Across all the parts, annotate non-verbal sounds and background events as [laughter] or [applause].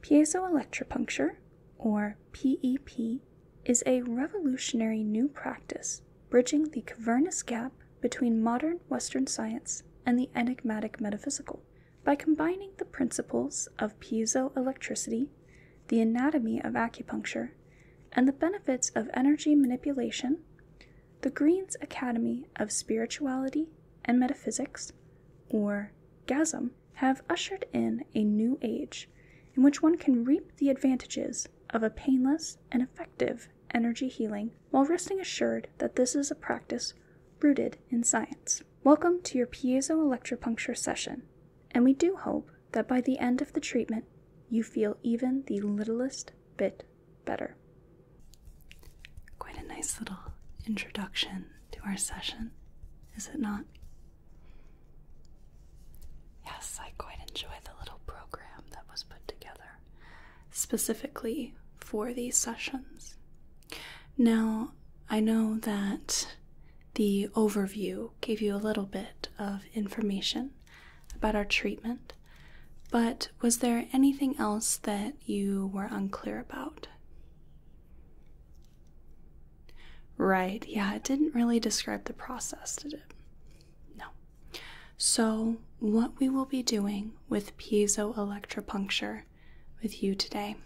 Piezoelectropuncture, or PEP, is a revolutionary new practice bridging the cavernous gap between modern Western science and the enigmatic metaphysical by combining the principles of piezoelectricity, the anatomy of acupuncture, and the benefits of energy manipulation. The Green's Academy of Spirituality and Metaphysics, or Gasum have ushered in a new age in which one can reap the advantages of a painless and effective energy healing while resting assured that this is a practice rooted in science. Welcome to your piezoelectropuncture session, and we do hope that by the end of the treatment, you feel even the littlest bit better. Quite a nice little introduction to our session, is it not? Yes, I quite enjoy the little program that was put together specifically for these sessions. Now, I know that the overview gave you a little bit of information about our treatment, but was there anything else that you were unclear about? Right, yeah, it didn't really describe the process, did it? No. So, what we will be doing with piezoelectropuncture with you today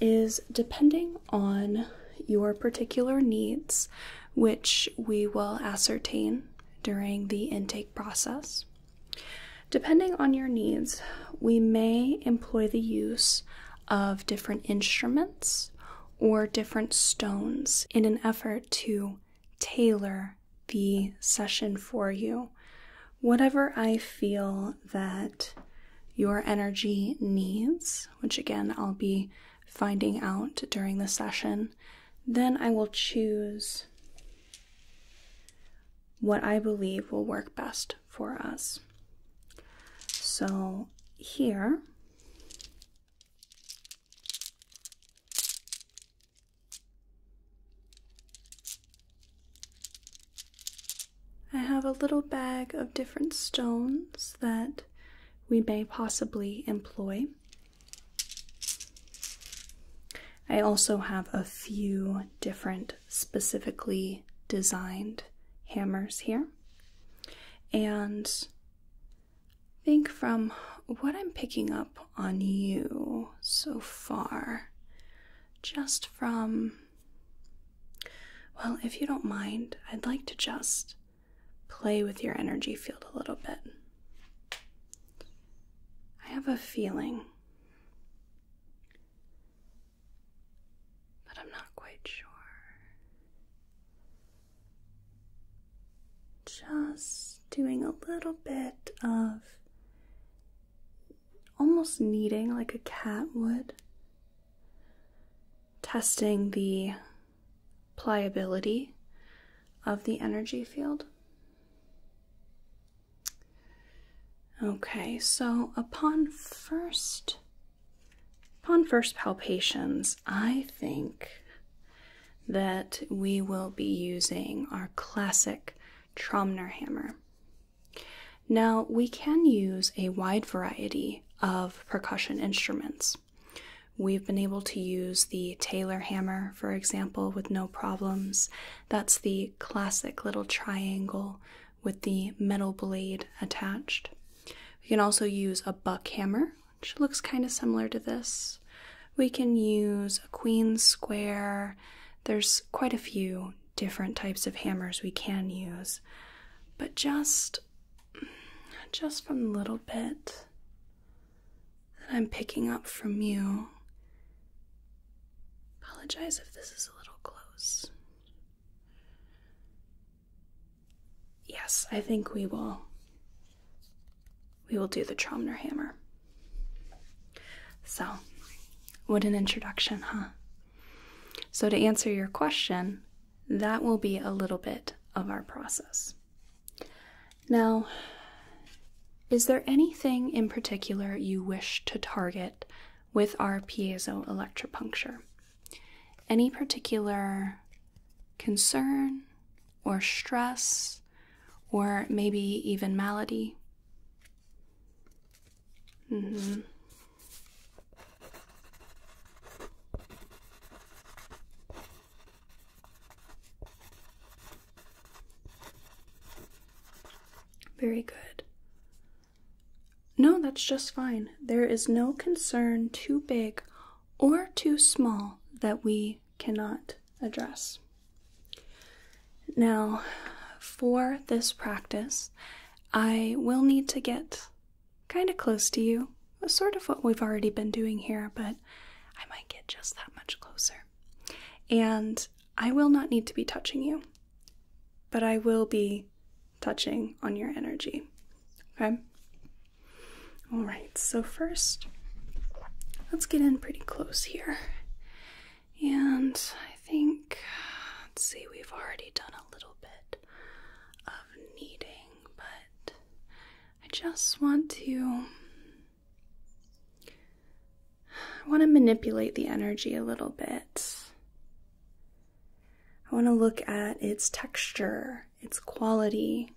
is depending on your particular needs, which we will ascertain during the intake process. Depending on your needs, we may employ the use of different instruments or different stones in an effort to tailor the session for you. Whatever I feel that your energy needs, which again I'll be finding out during the session, then I will choose what I believe will work best for us. So here, I have a little bag of different stones that we may possibly employ. I also have a few different specifically designed hammers here. And think from what I'm picking up on you so far, just from, well, if you don't mind, I'd like to just play with your energy field a little bit. I have a feeling but I'm not quite sure. Just doing a little bit of almost kneading like a cat would, testing the pliability of the energy field. Okay, so upon first upon first palpations, I think that we will be using our classic Tromner hammer. Now, we can use a wide variety of percussion instruments. We've been able to use the Taylor hammer, for example, with no problems, that's the classic little triangle with the metal blade attached. We can also use a buck hammer, which looks kind of similar to this. We can use a queen square. There's quite a few different types of hammers we can use. But just just from the little bit that I'm picking up from you, Apologize if this is a little close. Yes, I think we will. We will do the Tromner hammer. So, what an introduction, huh? So, to answer your question, that will be a little bit of our process. Now, is there anything in particular you wish to target with our piezo electropuncture? Any particular concern or stress or maybe even malady? Mm-hmm. Very good. No, that's just fine. There is no concern too big or too small that we cannot address. Now, for this practice, I will need to get kind of close to you, sort of what we've already been doing here, but I might get just that much closer. And I will not need to be touching you, but I will be touching on your energy. Okay? All right, so first, let's get in pretty close here. And I think, let's see, we've already done a little bit of kneading, but I just want to I want to manipulate the energy a little bit. I want to look at its texture, its quality,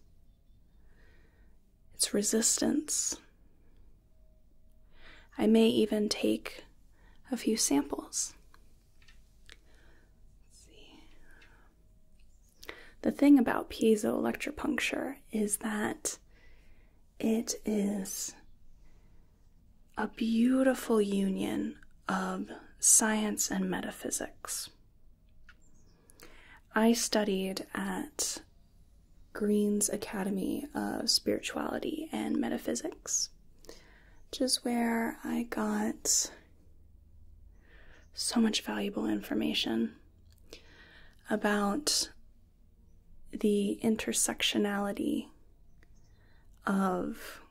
its resistance. I may even take a few samples. The thing about puncture is that it is a beautiful union of science and metaphysics. I studied at Green's Academy of Spirituality and Metaphysics, which is where I got so much valuable information about the intersectionality of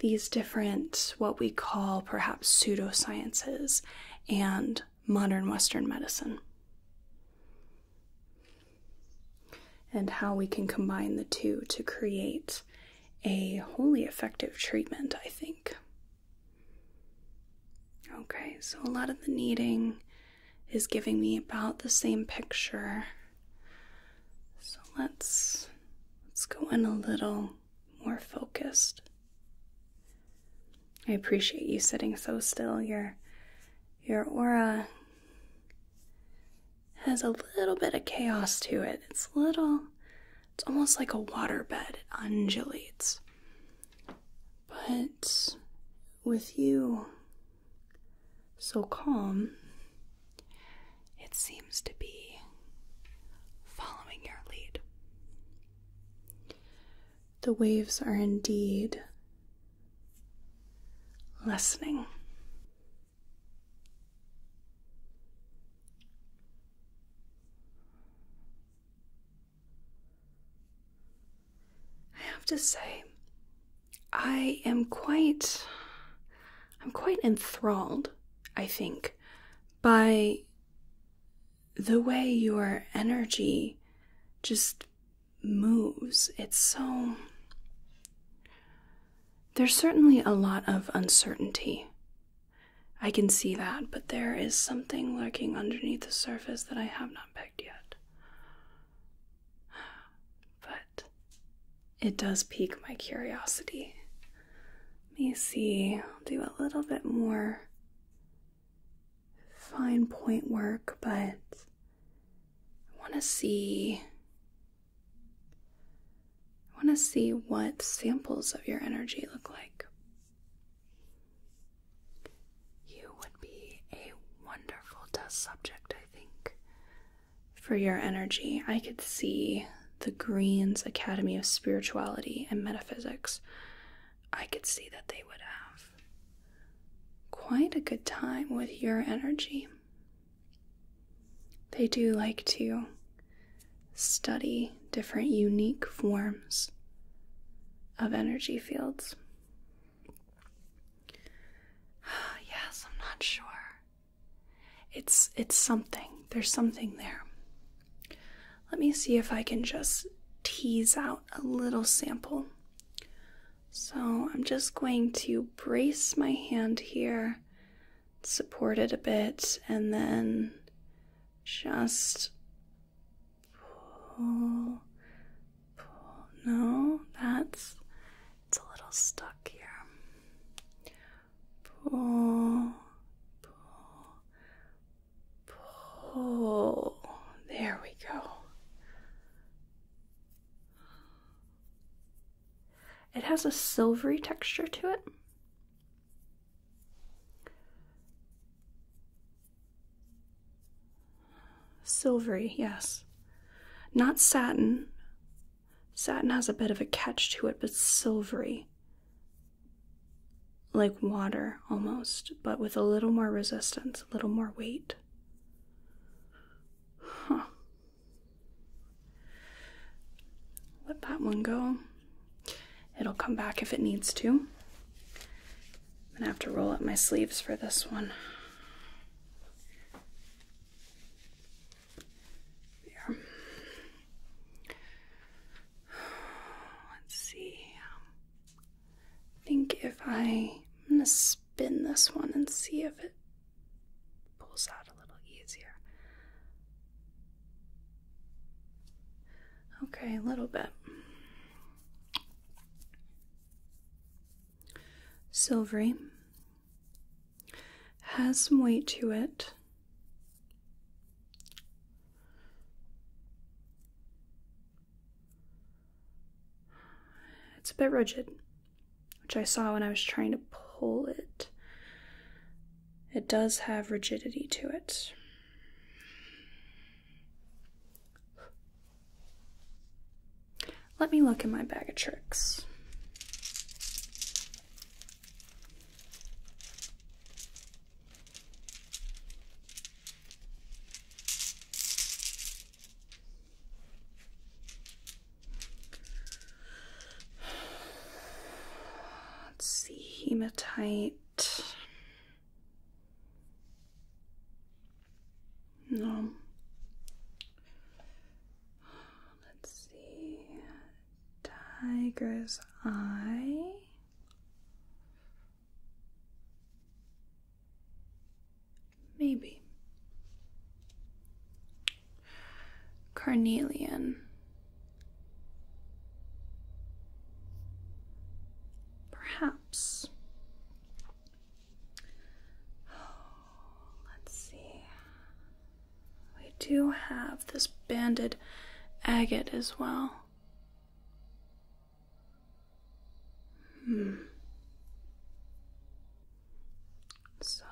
these different, what we call perhaps pseudosciences and modern Western medicine, and how we can combine the two to create a wholly effective treatment, I think. Okay, so a lot of the kneading is giving me about the same picture. So let's let's go in a little more focused. I appreciate you sitting so still. Your your aura has a little bit of chaos to it. It's little it's almost like a waterbed. It undulates. But with you so calm, it seems to be following your lead. The waves are indeed lessening. I have to say, I am quite. I'm quite enthralled, I think, by the way your energy just moves. It's so. There's certainly a lot of uncertainty. I can see that, but there is something lurking underneath the surface that I have not pegged yet. But it does pique my curiosity. Let me see, I'll do a little bit more fine point work, but I want to see. I want to see what samples of your energy look like. You would be a wonderful test subject, I think. For your energy, I could see the Greens Academy of Spirituality and Metaphysics. I could see that they would have quite a good time with your energy. They do like to study different unique forms of energy fields. [sighs] yes, I'm not sure. It's it's something. There's something there. Let me see if I can just tease out a little sample. So, I'm just going to brace my hand here, support it a bit, and then just pull, pull. No, that's it's a little stuck here. Pull, pull, pull. There we go. It has a silvery texture to it. Silvery, yes. Not satin. Satin has a bit of a catch to it, but silvery. Like water almost, but with a little more resistance, a little more weight. Huh. Let that one go. It'll come back if it needs to. I'm gonna have to roll up my sleeves for this one. Let's see. I think if I'm gonna spin this one and see if it pulls out a little easier. Okay, a little bit. Silvery. Has some weight to it. It's a bit rigid, which I saw when I was trying to pull it. It does have rigidity to it. Let me look in my bag of tricks. Let's see, hematite. No. Let's see. Tiger's eye. Maybe. Carnelian. Perhaps. [sighs] Let's see. We do have this banded agate as well. Hmm. So,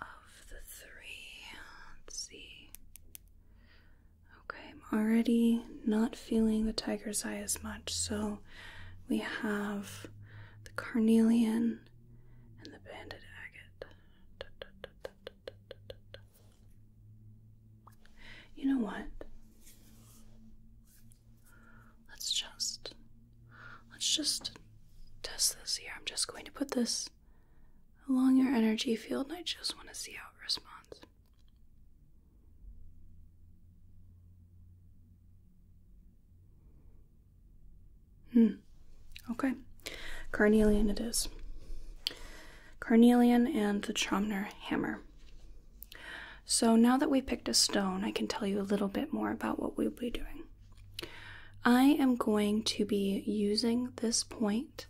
of the three, let's see. Okay, I'm already not feeling the tiger's eye as much, so we have the carnelian and the banded agate. You know what? Let's just let's just test this here. I'm just going to put this along your energy field and I just want to see how it responds. Hmm. Okay. Carnelian it is. Carnelian and the Chomner hammer. So now that we picked a stone, I can tell you a little bit more about what we'll be doing. I am going to be using this point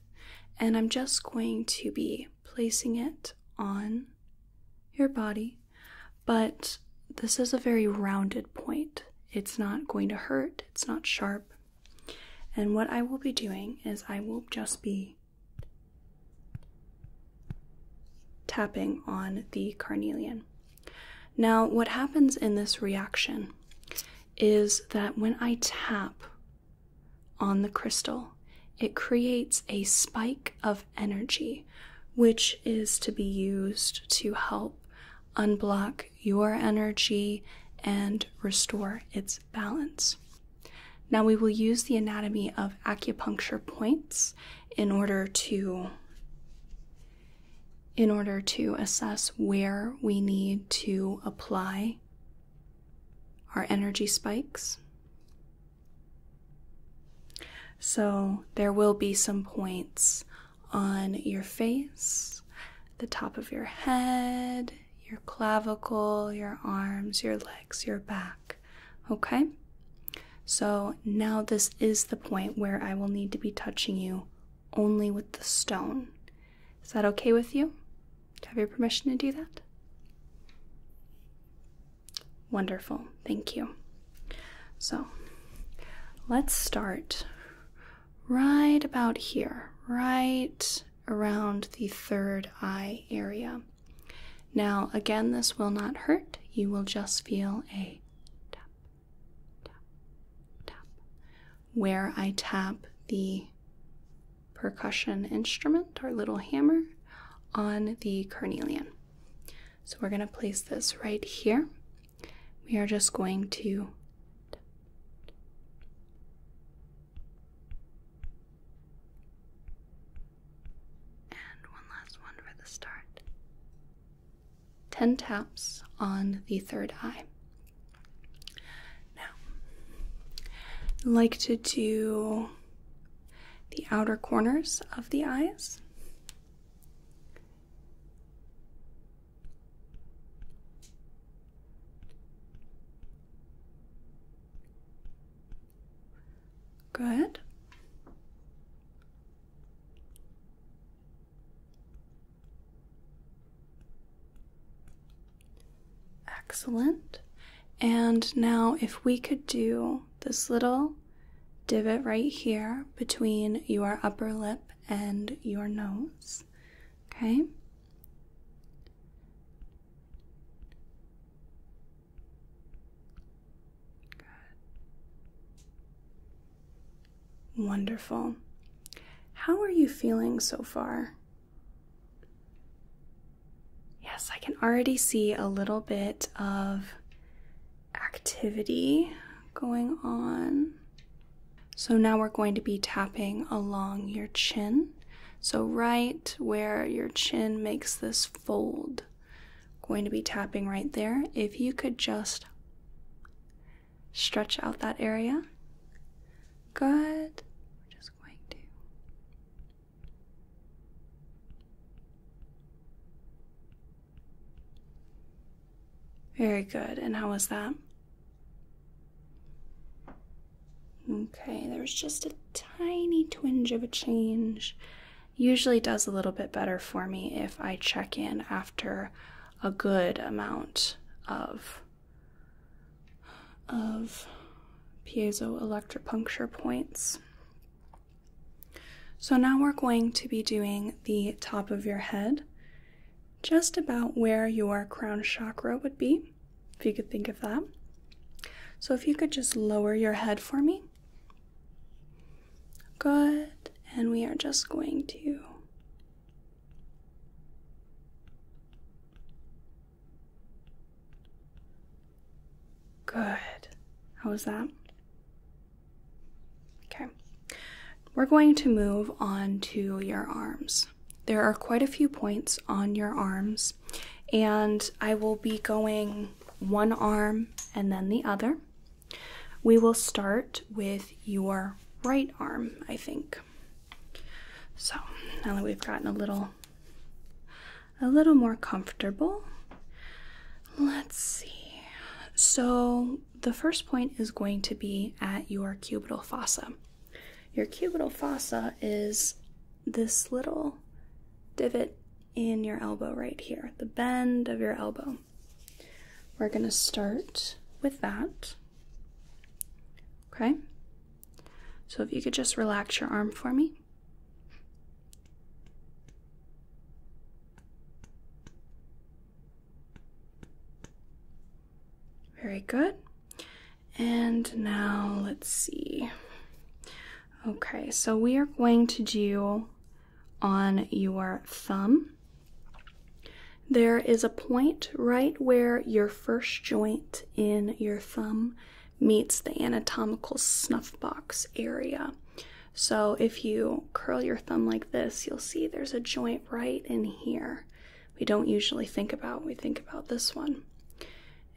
and I'm just going to be placing it on your body, but this is a very rounded point. It's not going to hurt, it's not sharp. And what I will be doing is I will just be tapping on the carnelian. Now, what happens in this reaction is that when I tap on the crystal, it creates a spike of energy, which is to be used to help unblock your energy and restore its balance. Now, we will use the anatomy of acupuncture points in order to in order to assess where we need to apply our energy spikes. So, there will be some points on your face, the top of your head, your clavicle, your arms, your legs, your back. Okay? So, now this is the point where I will need to be touching you only with the stone. Is that okay with you? have your permission to do that? Wonderful, thank you. So let's start right about here, right around the third eye area. Now, again, this will not hurt. You will just feel a tap, tap, tap, where I tap the percussion instrument, our little hammer, on the carnelian. So we're going to place this right here. We are just going to and one last one for the start. 10 taps on the third eye. Now, like to do the outer corners of the eyes. Good. Excellent. And now, if we could do this little divot right here between your upper lip and your nose, okay? Wonderful. How are you feeling so far? Yes, I can already see a little bit of activity going on. So now we're going to be tapping along your chin. So right where your chin makes this fold, going to be tapping right there. If you could just stretch out that area. Good. We're just going to very good. And how was that? Okay, there was just a tiny twinge of a change. Usually does a little bit better for me if I check in after a good amount of of piezoelectropuncture points. So now we're going to be doing the top of your head, just about where your crown chakra would be, if you could think of that. So if you could just lower your head for me. Good. And we are just going to Good. How was that? Okay. We're going to move on to your arms. There are quite a few points on your arms, and I will be going one arm and then the other. We will start with your right arm, I think. So now that we've gotten a little a little more comfortable. Let's see. So, the first point is going to be at your cubital fossa. Your cubital fossa is this little divot in your elbow right here, the bend of your elbow. We're going to start with that. Okay? So, if you could just relax your arm for me. Very good. And now let's see. Okay, so we are going to do on your thumb. There is a point right where your first joint in your thumb meets the anatomical snuffbox area. So if you curl your thumb like this, you'll see there's a joint right in here. We don't usually think about, we think about this one.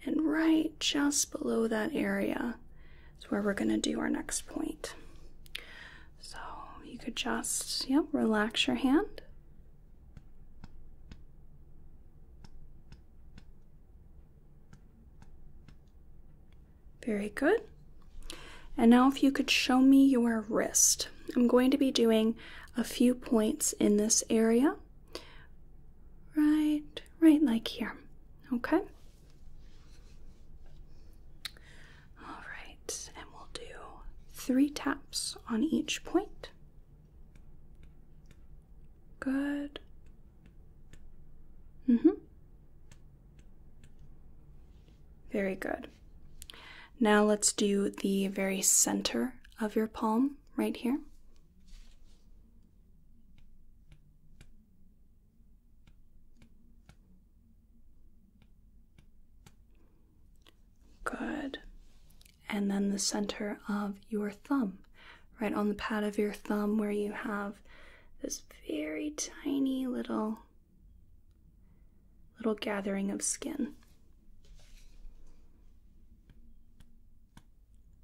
And right just below that area is where we're going to do our next point. So you could just, yep, relax your hand. Very good. And now, if you could show me your wrist, I'm going to be doing a few points in this area. Right, right, like here. Okay. All right, and we'll do three taps on each point. Good. Mhm. very good. Now let's do the very center of your palm right here. Good and then the center of your thumb, right on the pad of your thumb, where you have this very tiny little little gathering of skin.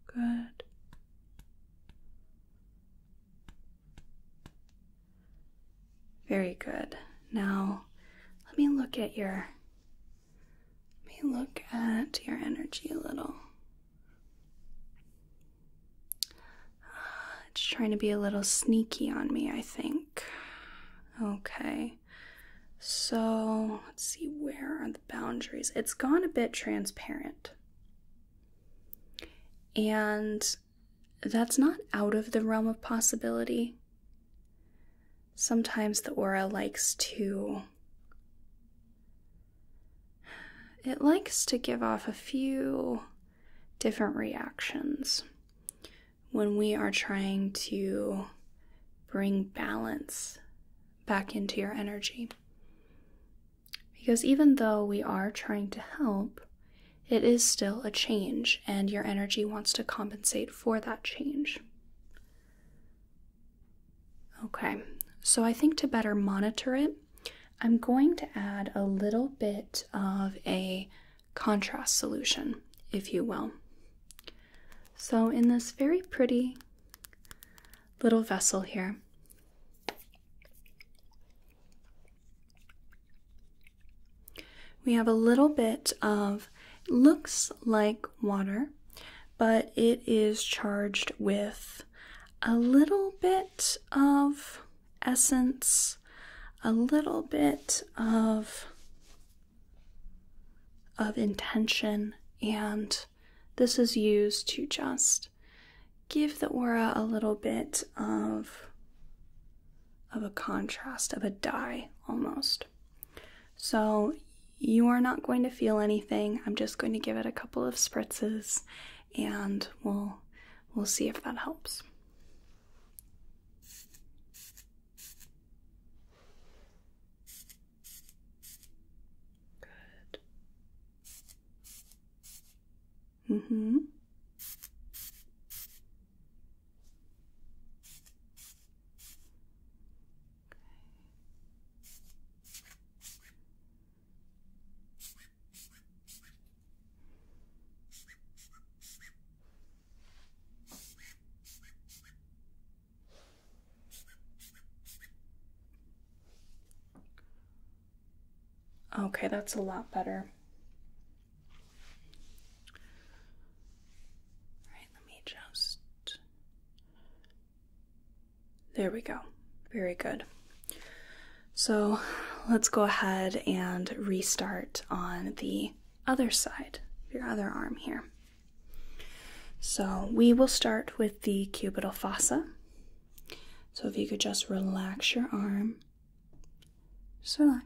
Good. Very good. Now, let me look at your let me look at your energy a little. Uh, it's trying to be a little sneaky on me, I think. Okay. So, let's see, where are the boundaries? It's gone a bit transparent. And that's not out of the realm of possibility sometimes the aura likes to. It likes to give off a few different reactions when we are trying to bring balance back into your energy. Because even though we are trying to help, it is still a change, and your energy wants to compensate for that change. Okay, so I think to better monitor it, I'm going to add a little bit of a contrast solution, if you will. So, in this very pretty little vessel here, we have a little bit of looks like water but it is charged with a little bit of essence, a little bit of of intention, and this is used to just give the aura a little bit of of a contrast of a dye almost. So you are not going to feel anything. I'm just going to give it a couple of spritzes and we'll we'll see if that helps. Good. Mm-hmm. Okay, that's a lot better. All right, let me just there we go. Very good. So let's go ahead and restart on the other side of your other arm here. So we will start with the cubital fossa. So if you could just relax your arm, just relax.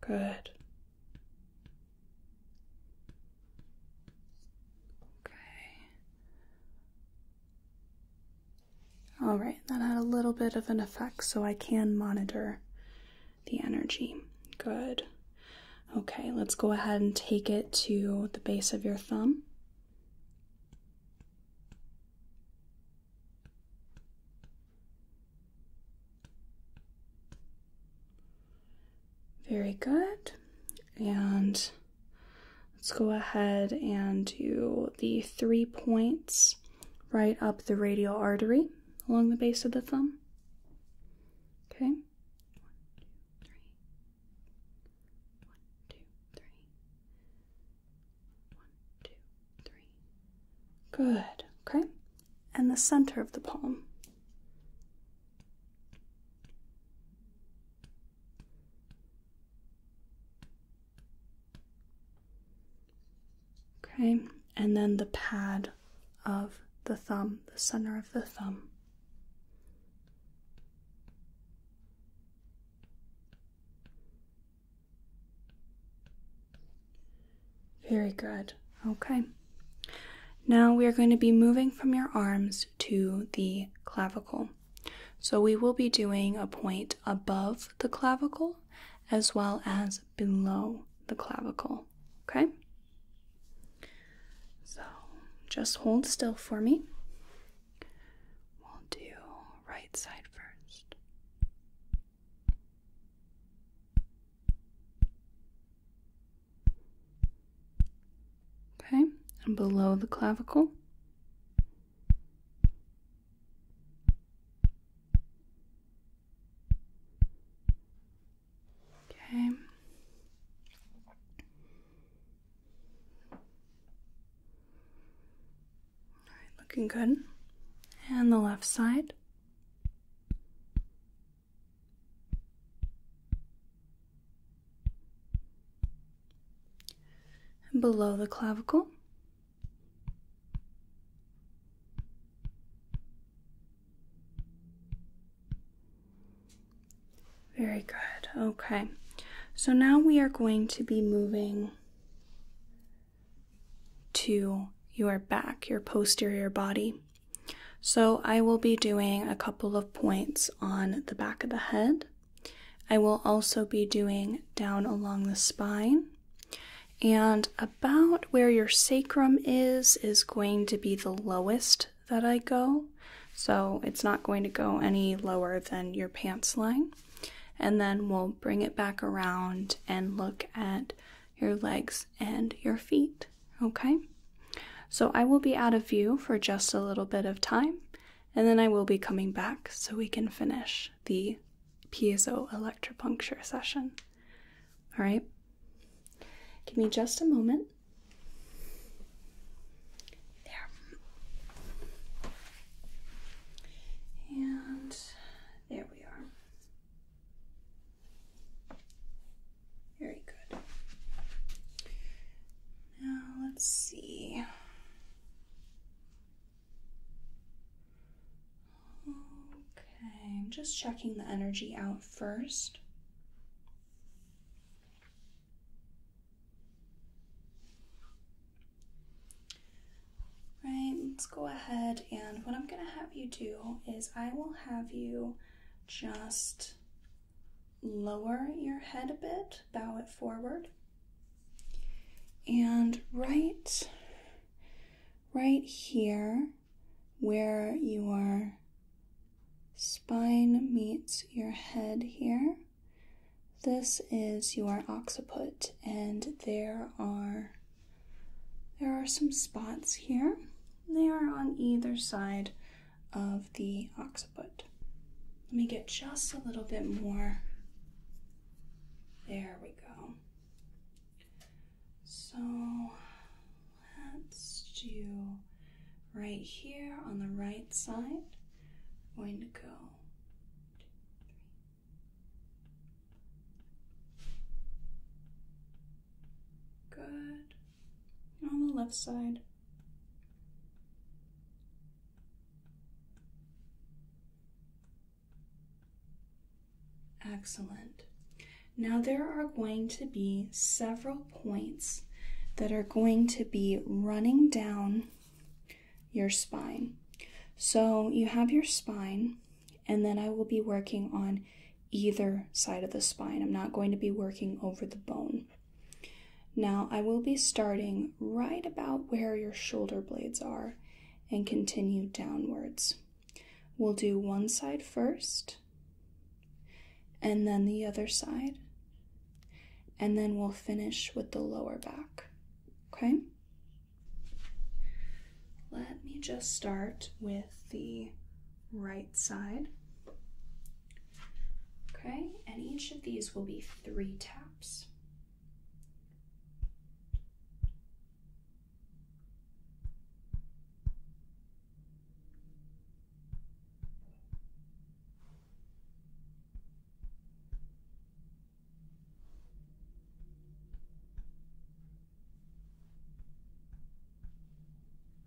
Good. Okay. All right, that had a little bit of an effect, so I can monitor the energy. Good. Okay, let's go ahead and take it to the base of your thumb. Very good. And let's go ahead and do the three points right up the radial artery along the base of the thumb. Okay. One, two, three. One, two, three. One, two, three. Good. Okay and the center of the palm. Okay, and then the pad of the thumb, the center of the thumb. Very good. Okay. Now we are going to be moving from your arms to the clavicle. So we will be doing a point above the clavicle as well as below the clavicle. Okay? So just hold still for me. We'll do right side first. Okay, and below the clavicle. Okay. looking good. And the left side below the clavicle. Very good. Okay. So now we are going to be moving to your back, your posterior body. So, I will be doing a couple of points on the back of the head. I will also be doing down along the spine. And about where your sacrum is, is going to be the lowest that I go. So, it's not going to go any lower than your pants line. And then we'll bring it back around and look at your legs and your feet. Okay? So I will be out of view for just a little bit of time and then I will be coming back so we can finish the piezo electropuncture session. All right? Give me just a moment. There. And there we are. Very good. Now let's see. Okay, I'm just checking the energy out first. Right, let's go ahead and what I'm going to have you do is I will have you just lower your head a bit, bow it forward. And right right here where your spine meets your head here, this is your occiput and there are there are some spots here. They are on either side of the occiput. Let me get just a little bit more. There we go. So let's do right here on the right side. I'm going to go Good. On the left side. Excellent. Now there are going to be several points that are going to be running down your spine. So you have your spine, and then I will be working on either side of the spine. I'm not going to be working over the bone. Now, I will be starting right about where your shoulder blades are and continue downwards. We'll do one side first, and then the other side, and then we'll finish with the lower back. Okay? Let me just start with the right side. Okay, and each of these will be three taps.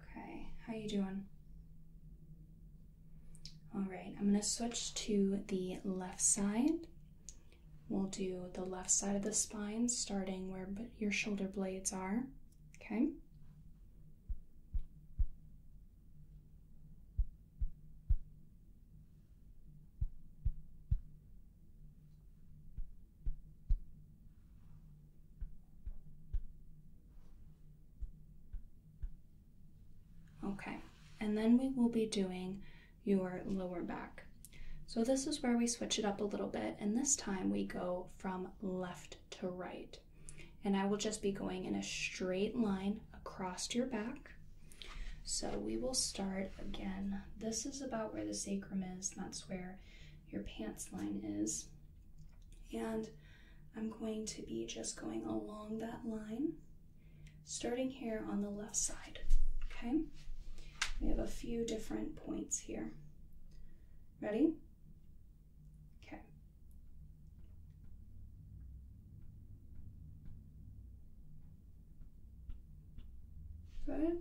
Okay, how you doing? All right, I'm going to switch to the left side. We'll do the left side of the spine starting where your shoulder blades are. Okay? Okay, and then we will be doing your lower back. So this is where we switch it up a little bit, and this time we go from left to right. And I will just be going in a straight line across your back. So we will start again. This is about where the sacrum is, where your pants line is. And I'm going to be just going along that line, starting here on the left side. Okay? We have a few different points here. Ready? Okay. Is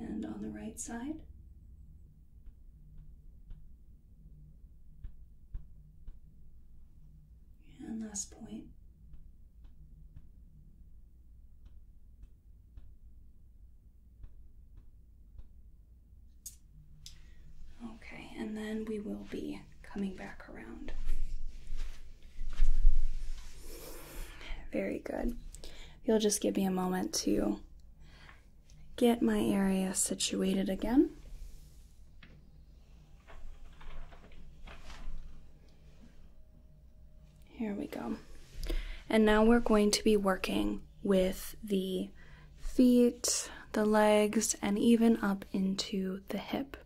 And on the right side. And last point. Okay, and then we will be coming back around. Very good. You'll just give me a moment to get my area situated again. Here we go. And now we're going to be working with the feet, the legs, and even up into the hip.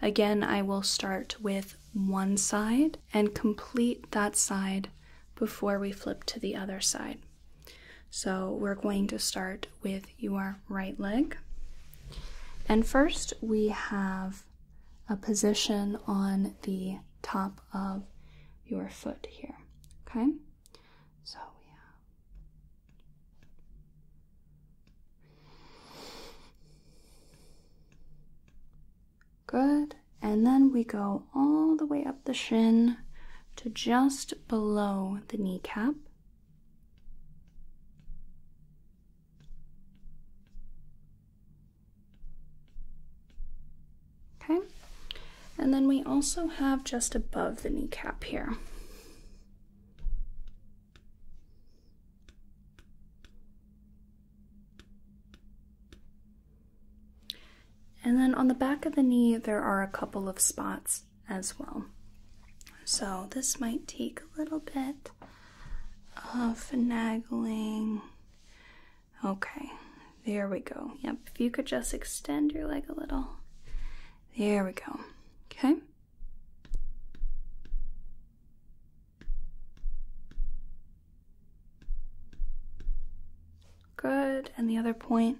Again, I will start with one side and complete that side before we flip to the other side. So we're going to start with your right leg. And first we have a position on the top of your foot here, okay? So, yeah. Good. And then we go all the way up the shin to just below the kneecap. Okay, and then we also have just above the kneecap here. And then on the back of the knee, there are a couple of spots as well. So this might take a little bit of finagling. Okay, there we go. Yep, if you could just extend your leg a little. There we go. Okay. Good. And the other point.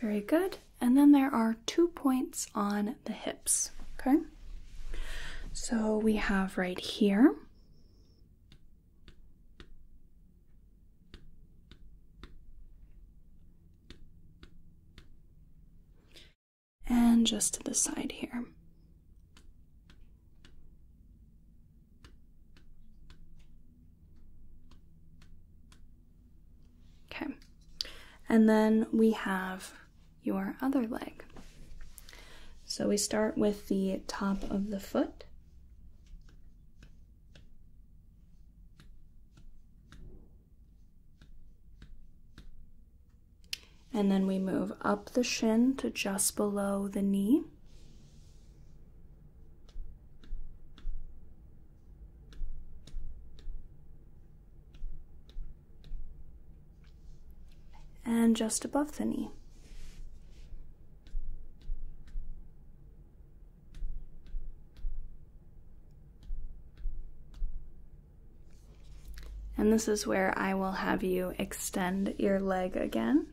Very good. And then there are two points on the hips. Okay, so we have right here. And just to the side here. Okay, and then we have your other leg. So we start with the top of the foot. And then we move up the shin to just below the knee and just above the knee. And this is where I will have you extend your leg again,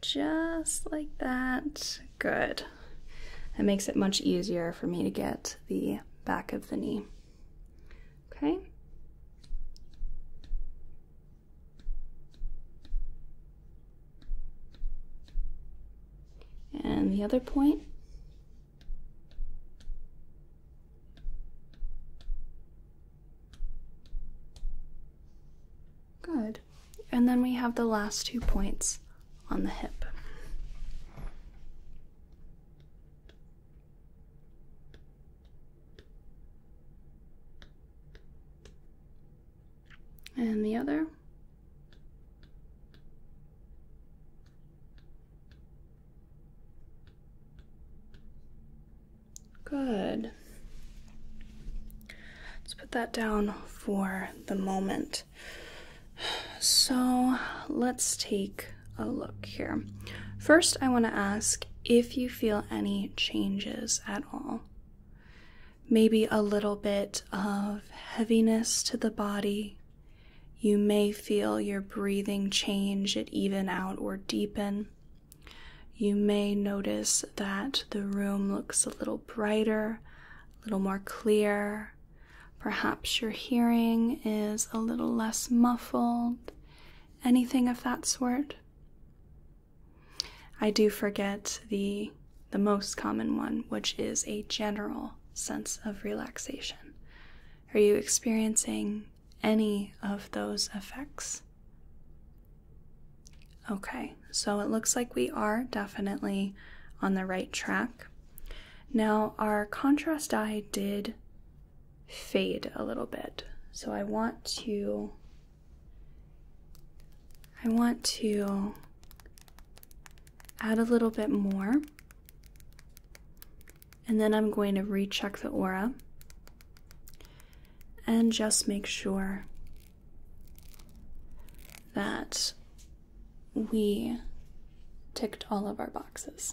just like that. Good. That makes it much easier for me to get the back of the knee. Okay. And the other point. Good. And then we have the last two points on the hip. And the other. Good. Let's put that down for the moment. So let's take a look here. First, I want to ask if you feel any changes at all. Maybe a little bit of heaviness to the body. You may feel your breathing change, it even out or deepen. You may notice that the room looks a little brighter, a little more clear. Perhaps your hearing is a little less muffled, anything of that sort. I do forget the the most common one, which is a general sense of relaxation. Are you experiencing any of those effects? Okay, so it looks like we are definitely on the right track. Now, our contrast eye did fade a little bit. So I want to I want to add a little bit more. And then I'm going to recheck the aura and just make sure that we ticked all of our boxes.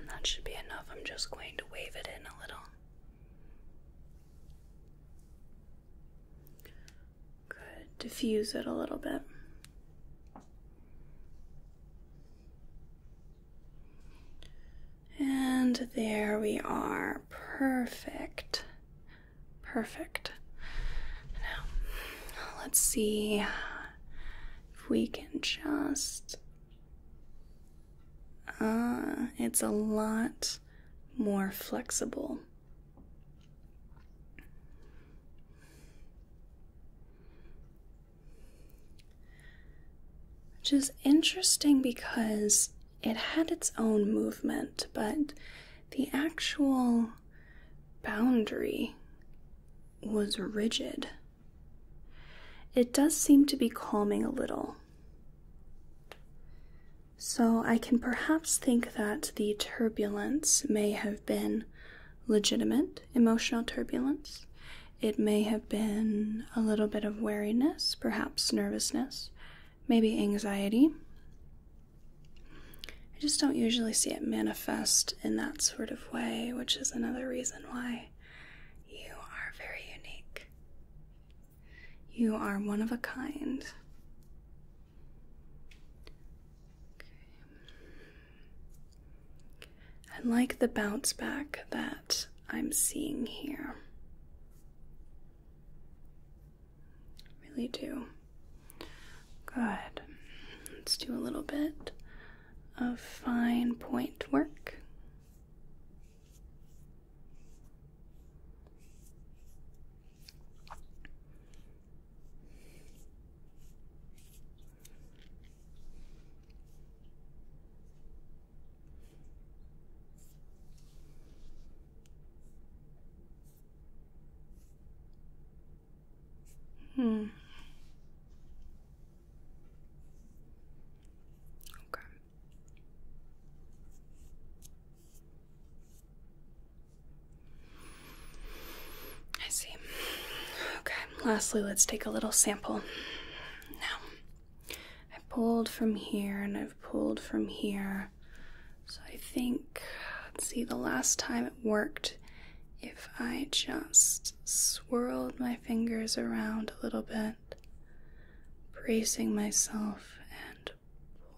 And that should be enough. I'm just going to wave it in a little. Good. Diffuse it a little bit. And there we are. Perfect. Perfect. Now, let's see if we can just. Ah, it's a lot more flexible. Which is interesting because it had its own movement, but the actual boundary was rigid. It does seem to be calming a little. So I can perhaps think that the turbulence may have been legitimate emotional turbulence. It may have been a little bit of wariness, perhaps nervousness, maybe anxiety. I just don't usually see it manifest in that sort of way, which is another reason why you are very unique. You are one of a kind. Okay. And like the bounce back that I'm seeing here. Really do. Good. Let's do a little bit of fine point work. Hmm. Okay. I see. Okay, lastly, let's take a little sample. Now, I pulled from here and I've pulled from here. So I think, let's see, the last time it worked, if I just swirled my fingers around a little bit, bracing myself and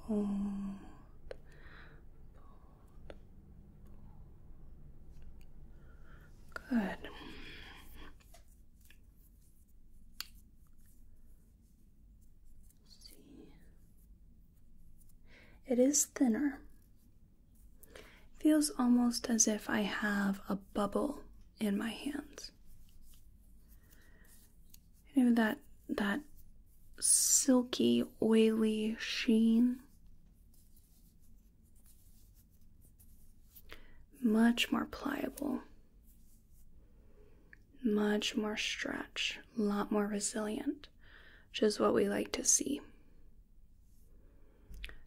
pulled, pulled, pulled. Good. It is thinner. Feels almost as if I have a bubble in my hands. You know that that silky, oily sheen. Much more pliable much more stretch, a lot more resilient, which is what we like to see.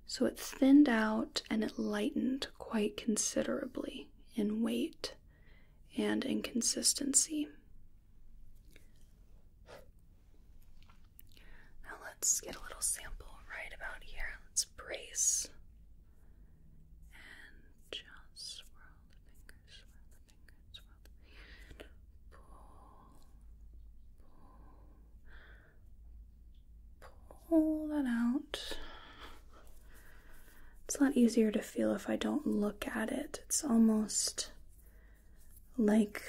So it thinned out and it lightened quite considerably in weight and in consistency. Now let's get a little sample right about here. Let's brace and just swirl swirl the fingers, swirl the Pull, pull, pull that out. It's a lot easier to feel if I don't look at it. It's almost like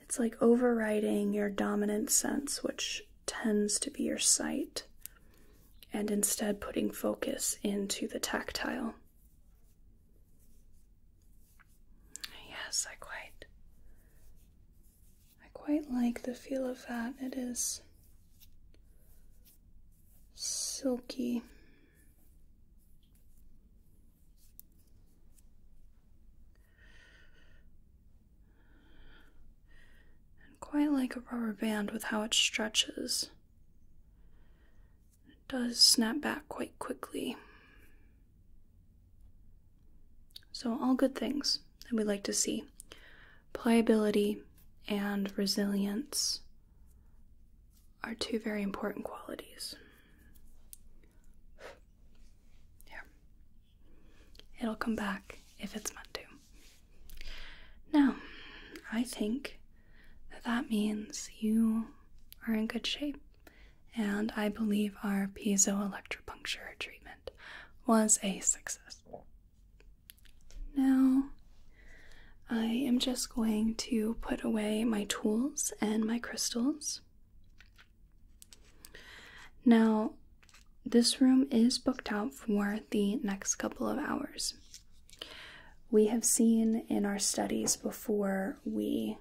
it's like overriding your dominant sense, which tends to be your sight and instead putting focus into the tactile. Yes, I quite I quite like the feel of that. It is silky and quite like a rubber band with how it stretches. It does snap back quite quickly. So, all good things that we like to see pliability and resilience are two very important qualities. Yeah. It'll come back if it's meant to. Now, I think that means you are in good shape, and I believe our piezoelectropuncture treatment was a success. Now, I am just going to put away my tools and my crystals. Now, this room is booked out for the next couple of hours. We have seen in our studies before we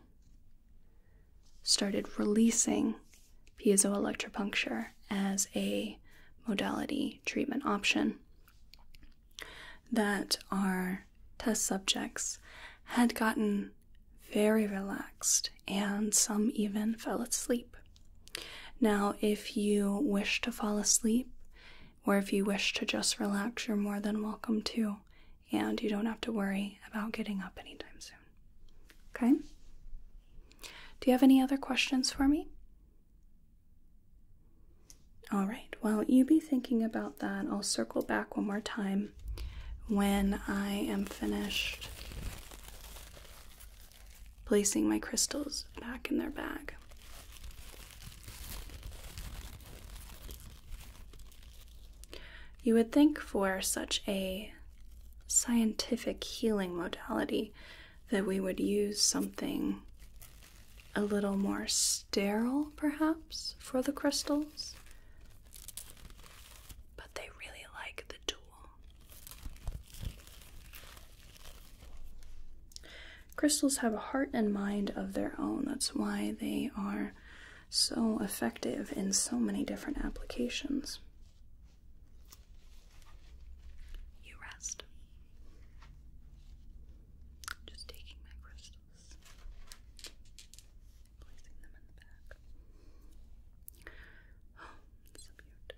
started releasing piezoelectropuncture as a modality treatment option that our test subjects had gotten very relaxed and some even fell asleep. Now, if you wish to fall asleep or if you wish to just relax, you're more than welcome to, and you don't have to worry about getting up anytime soon. Okay? Do you have any other questions for me? All right, well, you be thinking about that. I'll circle back one more time when I am finished placing my crystals back in their bag. You would think for such a scientific healing modality that we would use something a little more sterile, perhaps, for the crystals. But they really like the tool. Crystals have a heart and mind of their own. That's why they are so effective in so many different applications. You rest. Just taking my crystals, placing them in the back. Oh, so beautiful.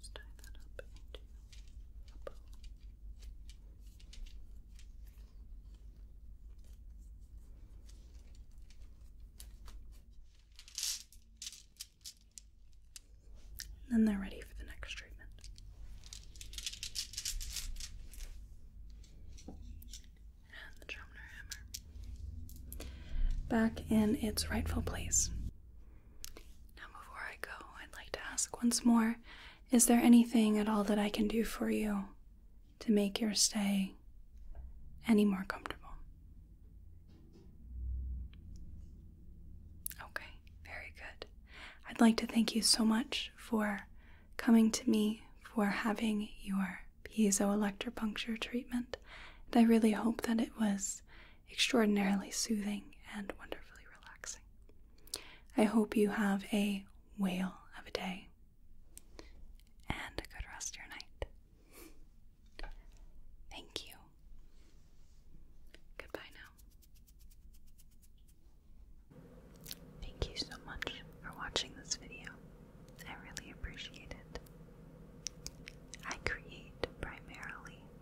just tie that up into a bow. And then they're ready for the next treatment. And the Drumner hammer back in its rightful place. Now, before I go, I'd like to ask once more is there anything at all that I can do for you to make your stay any more comfortable? Okay, very good. I'd like to thank you so much for coming to me for having your piezoelectropuncture treatment. And I really hope that it was extraordinarily soothing and wonderfully relaxing. I hope you have a whale of a day and a good rest of your night. Thank you. Goodbye now. Thank you so much for watching this video. I really appreciate it. I create primarily